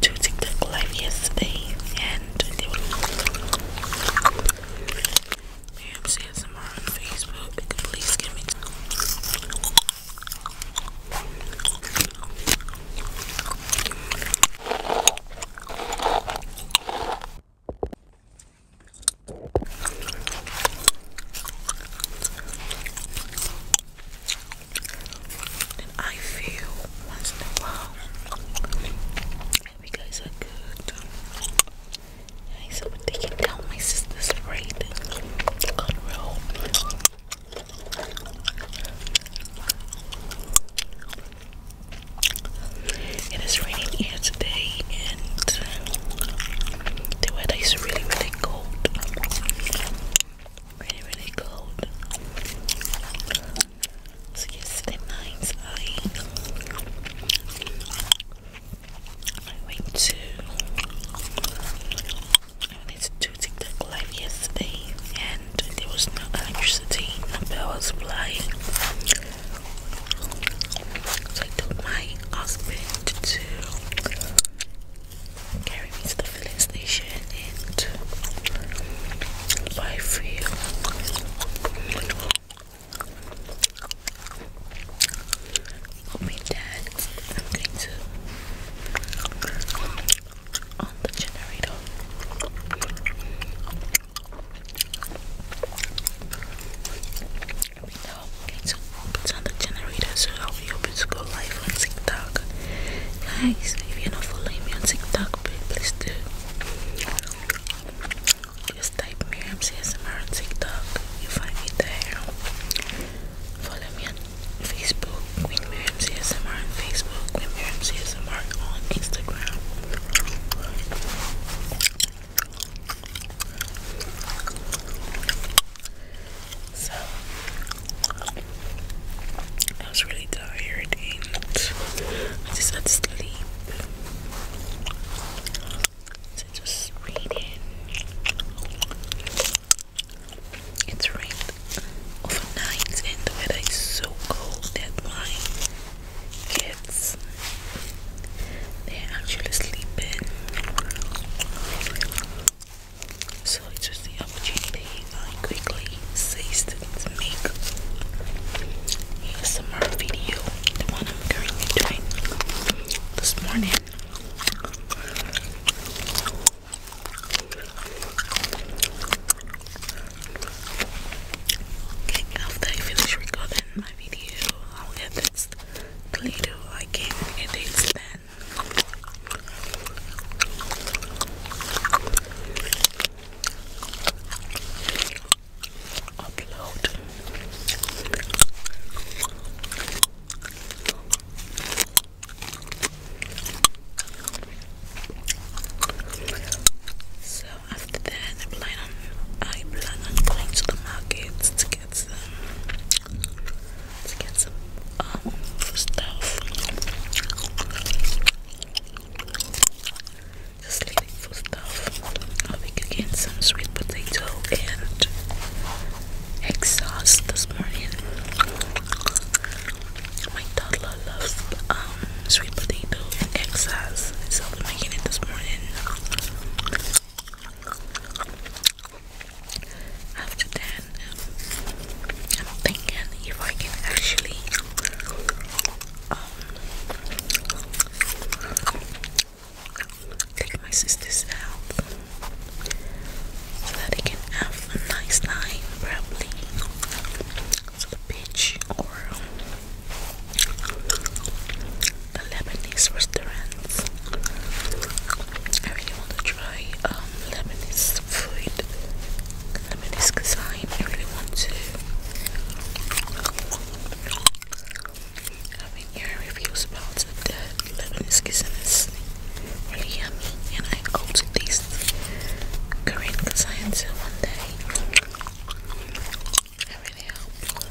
to TikTok live yesterday and they were yeah, I'm on Facebook. Please give me I feel once in a while. Hope you guys good. I so taking down my sister's braid. It is raining here today, and the weather is really, really cold. Really, really cold. So yes, the I went to I wanted to do TikTok live yesterday and there was no electricity, no power supply. So I told my husband to carry me to the filling station and buy fuel. Hoping that I'm going to on the generator. I mean, now put on the generator, so I'll be able to go live on TikTok. Guys, if you're not following me on TikTok, please do. Just type Miriam on TikTok. You find me there. Follow me on Facebook, Queen on Facebook, Queen on Instagram. So I was really tired and I just had to sleep. So it was raining. It's rained overnight and the weather is so cold that my kids they're actually sleeping. So it was the I quickly ceased to make some more video, the one I'm currently doing this morning. after I finish recording my video, I'll edit this later. I can edit then so after that I plan I plan on going to the market to get some to get some um stuff just leaving for stuff. I'll make some sweet potato and egg sauce this morning. My toddler loves um, sweet potato and egg sauce, so I'll making it this morning. After that, I'm thinking if I can actually take my sisters out so that they can have a nice time, probably to the beach or um, the Lebanese restaurants. I really want to try um, Lebanese food the I really want to have been hearing reviews about the meniscus and really yummy and I go to these Korean clients one day. I really hope.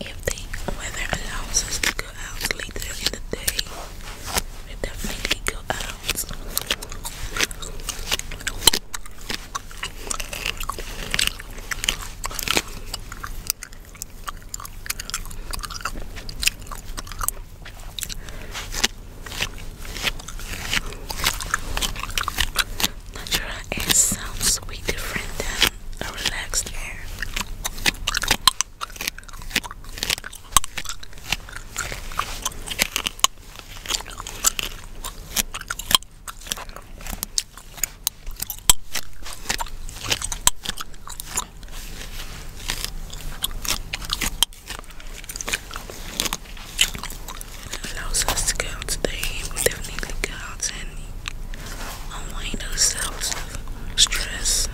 if the weather allows us to go out later in the day, we definitely go out. Natura sounds way different than a relaxed air. Allows us to get out today. We definitely got clouds and unwind ourselves of stress,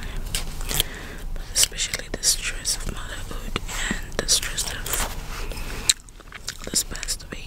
especially the stress of motherhood and the stress of this past week.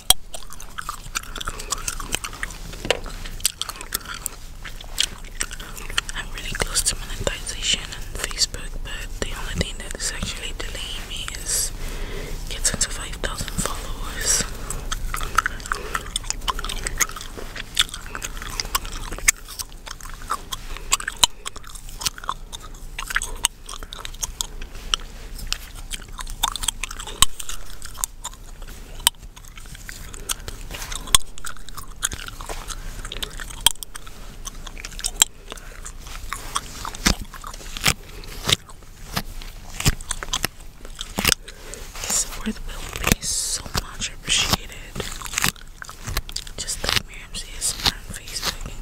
I'm really close to monetization on Facebook, but the only thing that is actually delaying me is getting to 5,000 followers. This support will be so much appreciated. Just like Miriam is my face, I can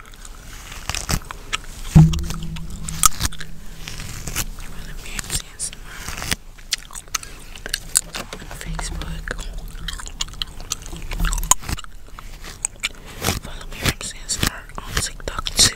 You want to be ASMR? On Facebook. Follow me from Sandstar on TikTok too.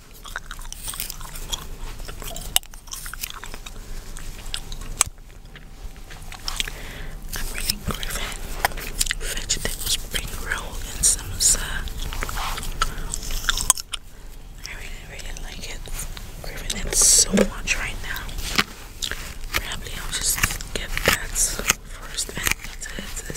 I'm reading Griffin Vegetable Spring Roll and Samosa. I really, really like it. Griffin it so much right now. Probably I'll just get that first appetizer.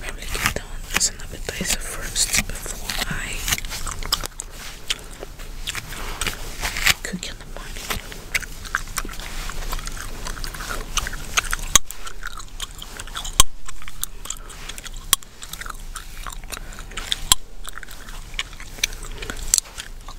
Memleketten zijn appetizer first before I cook in the morning.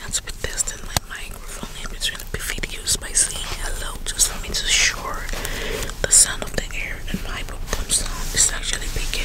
Let's put this in my microphone in between the videos by saying hello just for me sure the sound of the air and my book actually big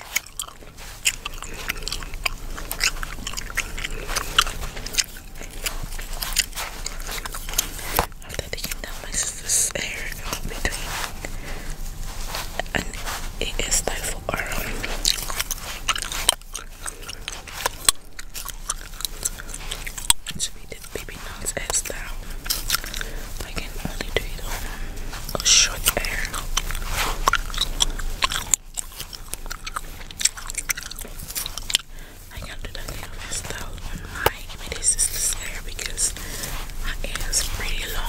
After taking down my sister's hair in between, and it is time for our to be the baby nuts hairstyle. I can only do it on a short hair. I can do that kind of hairstyle on my immediate sister's hair because her hair is pretty long.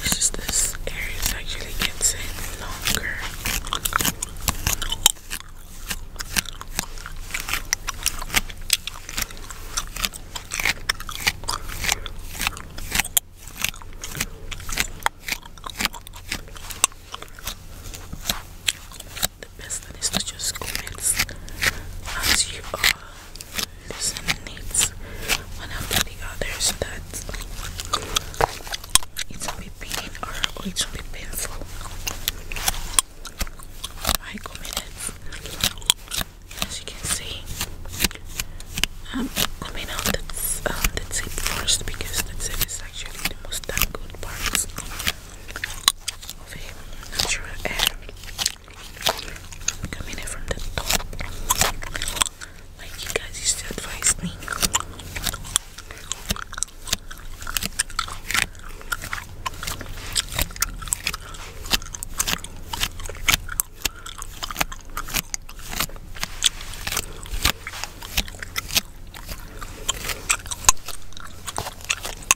It's just this area actually gets it longer the best thing is to just comment as you are listening it one after the others that it will be pain or, or it be painful. I commented as you can see I'm um, coming out the, um, first because the tip is actually the most damn part over here, natural air coming in from the top, like you guys used to advise me.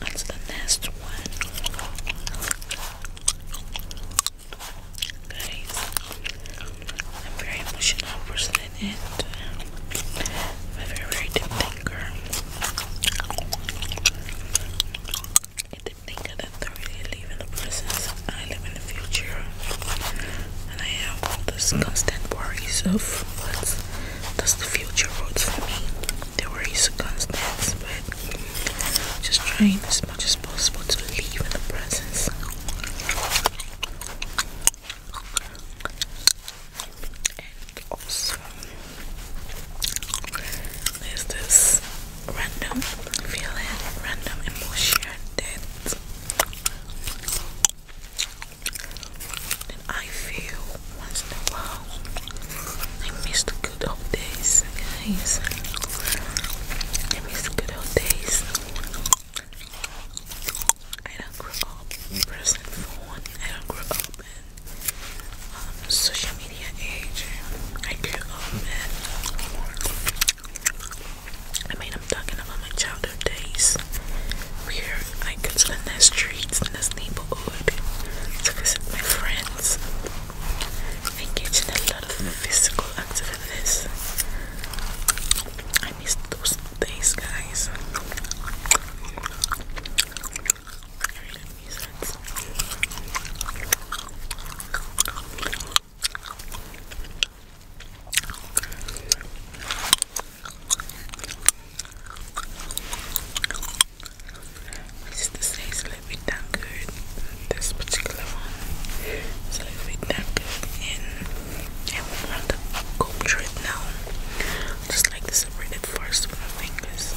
That's the next one. Guys, I'm very emotional person and I'm a very, deep thinker. A thinker that I really live in the present. I live in the future. And I have all those constant worries of what does the future hold for me. The worries are constant, but just trying as much as possible to live in the present. And also, there's this random feeling, random emotion that I feel once in a while. I miss the good old days, guys. I miss the good old days. I don't grow up in present phone. I don't grow up in um, social media age. I grew up in. I mean, I'm talking about my childhood days where I could spend the streets in this neighborhood to visit my friends, engage in a lot of physical activities. I miss those Thanks, guys. This is the size a little This particular one is a little bit and I will want the culture it now. just like to separate it first with my fingers.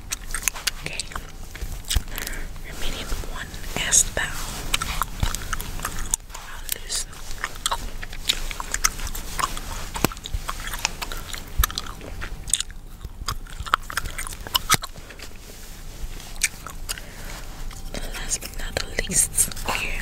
Okay. Your one as thou. I'll loosen. Last but not the least, here.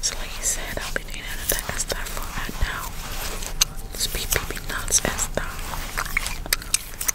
So like you said, I'll be doing all of of stuff for right now. Just be peeping nuts and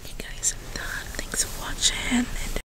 Okay guys, Thanks for watching.